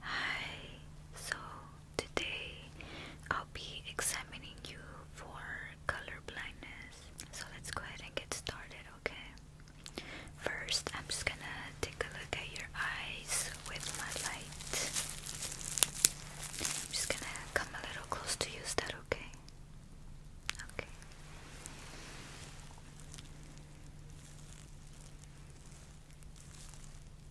Hi, so today I'll be examining you for color blindness. So let's go ahead and get started, okay? First, I'm just gonna take a look at your eyes with my light. I'm just gonna come a little close to you, is that okay? Okay.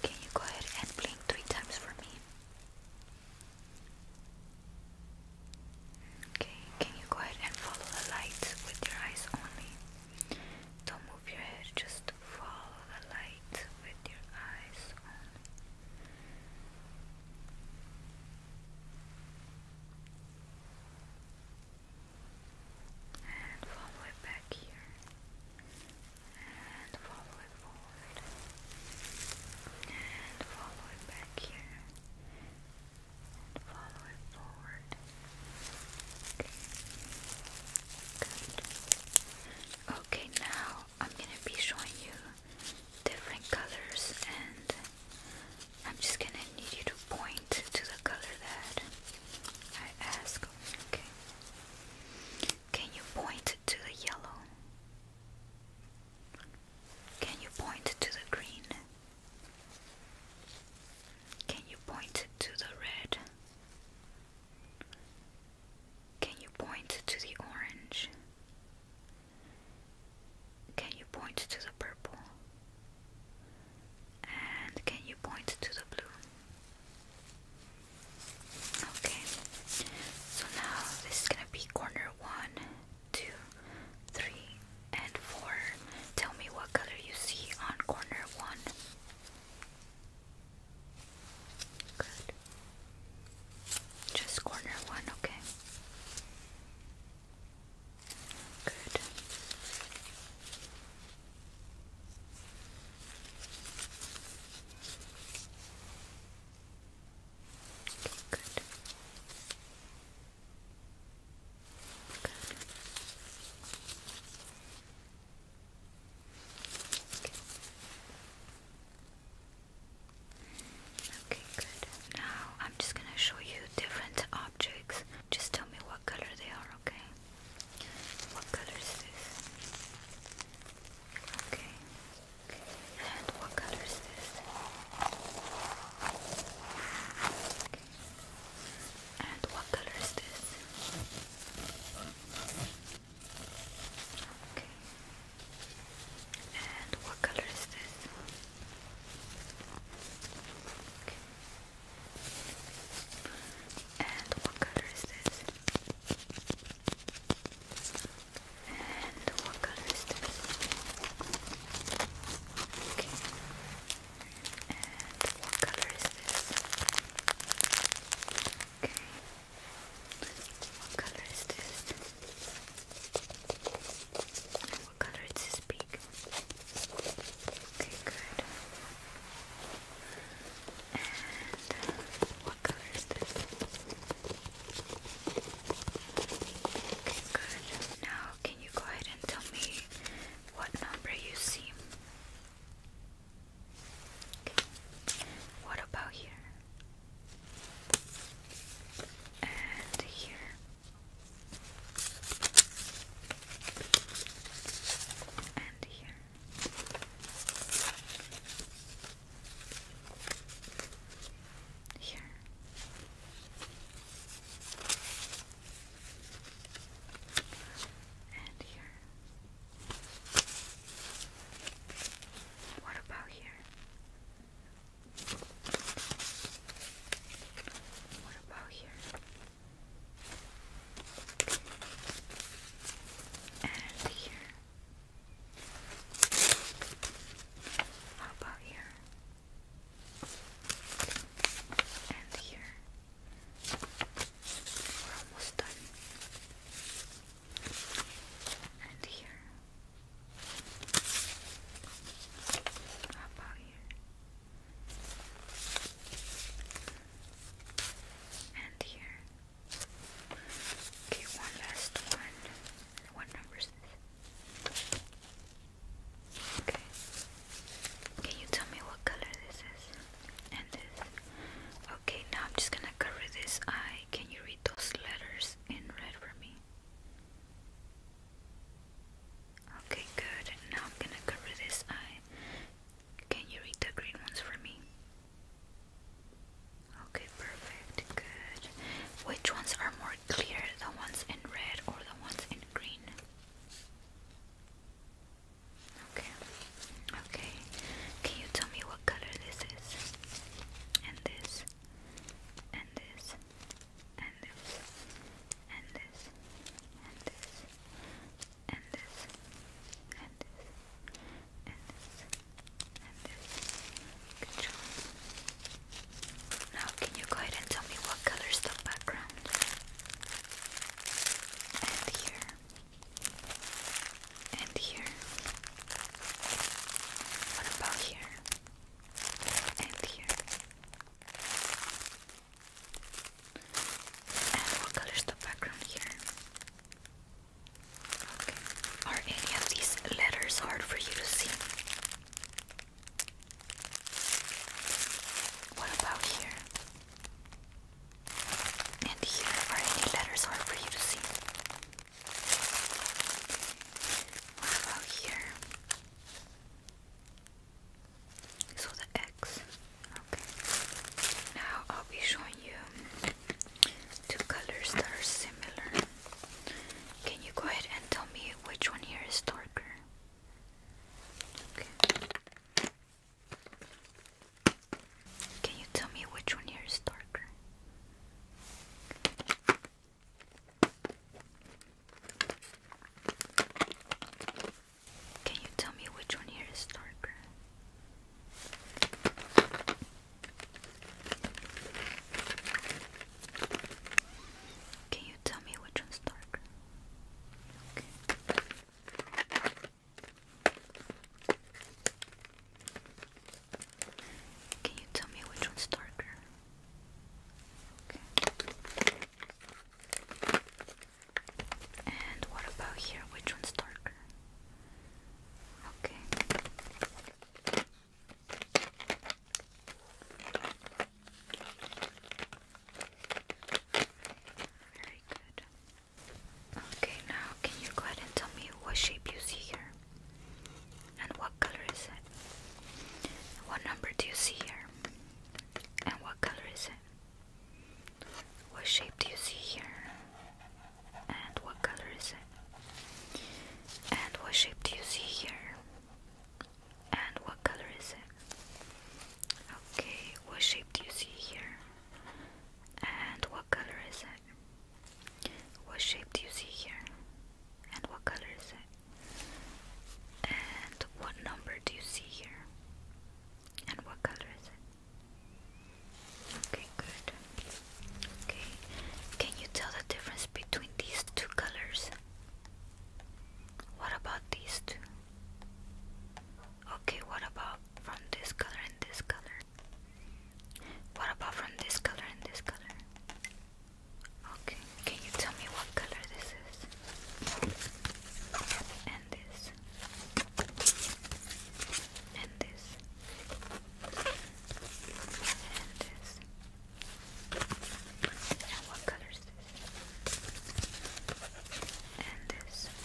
Can you go ahead and blink three times for me? Okay, can you go ahead and follow the light with your eyes only? Don't move your head, just follow the light with your eyes only. And follow it back here. And follow it forward. And follow it back here. And follow it forward. Okay. Good. Okay, now I'm gonna be showing you different colors and I'm just gonna need you to point to the color that I ask. Okay. Can you point to the yellow? Can you point to the green? Can you point to the red? Can you point to the orange? Can you point to the purple? And can you point to the blue? Okay, so now this is gonna be corner one, two, three, and four. Tell me what color you see on corner one. Good. Just corner one, okay? Good. Okay, good. Good. Okay. Okay, good. Now I'm just gonna show you different objects. Just tell me what color they are, okay? What color is this? Okay. And what color is this? Okay. And what color is this? Okay. And what color is this? Okay. And what color is this? And what color is this? Okay. And what color is this? Okay. What color is this? And what color is this beak? Okay, good. And uh, what color is this? Okay, good. Now, can you go ahead and tell me what number you see? Okay. What about here? and here. And here. Here. And here. What about here? here? What about here? And here? How about here? And here? We're almost done and here. How about here? And here. Okay, one last one. What number is this? Okay. Can you tell me what color this is? And this. Okay, now I'm just gonna cover this eye can you read those letters in red for me? Okay, good. Now I'm gonna cover this eye. Can you read the green ones for me? Okay, perfect. Good. Which ones are more clear? The ones in red or the ones in green? Okay. Okay. Can you tell me what what color this is, and this, and this, and this, and this, and this, and this, and this, and this, and this. Now, can you go ahead and tell me what color the background? And here and here. What about here? And here. And what color the background here? Okay. Are any of these letters hard for you to see? What about here? And here are any letters hard for you to see? What about here? So the X. Okay. Now I'll be showing you two colors that are similar. Can you go ahead and tell me which one here is darker? Okay. Can you tell me which one here is darker? Can you tell me which one here is darker? Can you tell me which one's darker? Can you tell me which one's darker? And what about here? Which one's darker? Okay. Very good. Okay, now can you go ahead and tell me what shape you see here? And what color is it? What number do you see here? And what color is it? What shape do you see here? And what color is it? And what shape do you see here? And what color is it? Okay, what shape do you see here? And what color is it? What shape do you see here? And what color is it? And what number do you see here? And what color is it? Okay, good. Okay. Can you tell the difference between these two colors? What about these two? Okay, what about from this color and this color? What about from this color and this color? Okay, can you tell me what color this is? And this. And this. And this. And what color this? And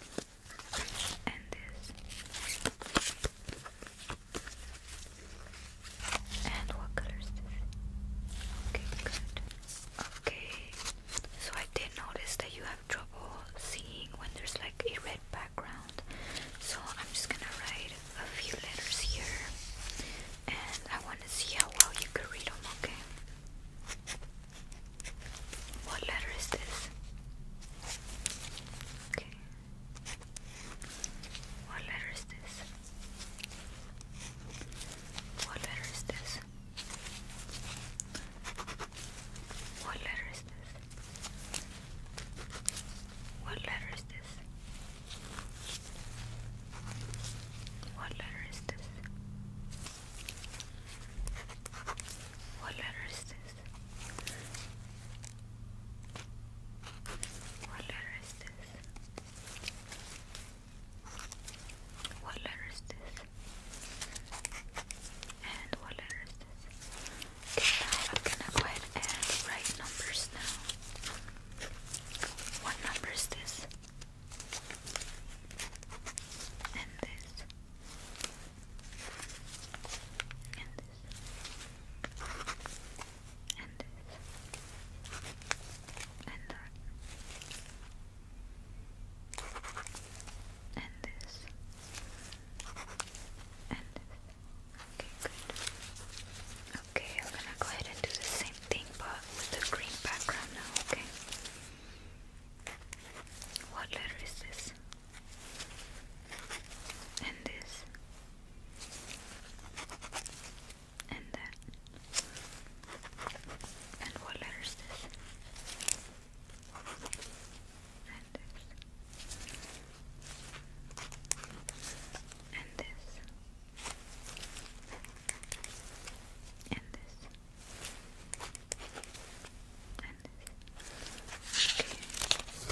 this and this. And what color this? Okay, good. Okay, so I did notice that you have trouble seeing when there's like a red background. So I'm just gonna write a few letters here, and I want to see how well you can read them. Okay. What letter is this? Okay. What letter is this? What letter is this? What letter is this? What letter is this? What letter is this? What letter is this? What letter is this? What letter is this? And what letter is this? Okay, I'm gonna go ahead and write numbers now. What number is this? And this and this, and this, and that, and this, and this. Okay, I'm gonna go ahead and do the same thing, but with the green background now. Okay. What letter is this? and this and that and what letter this? And this and this and this and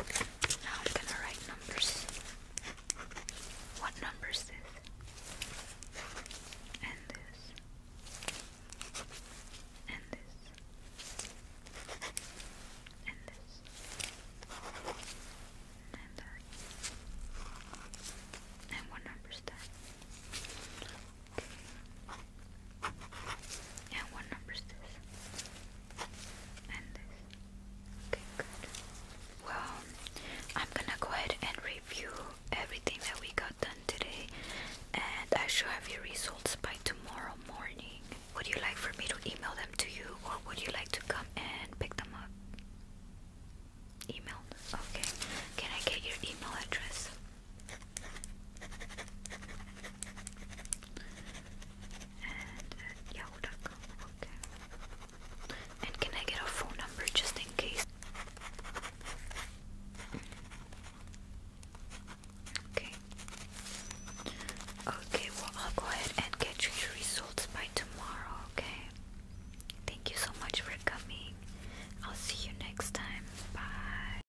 okay. Now I'm gonna write numbers. What number is this? And this. And this. And this. And that. And what number is that? And what number this? And this. Okay, good. Well, I'm gonna go ahead and review everything that we got done today, and I should have your results by tomorrow morning. Would you like for me to email them to you, or would you like to come and pick them up? Email? Okay. Can I get your email address? and uh, at Okay. And can I get a phone number just in case? Okay. Okay, well, I'll go ahead and get you your results by tomorrow, okay? Thank you so much for coming. I'll see you next time. Bye.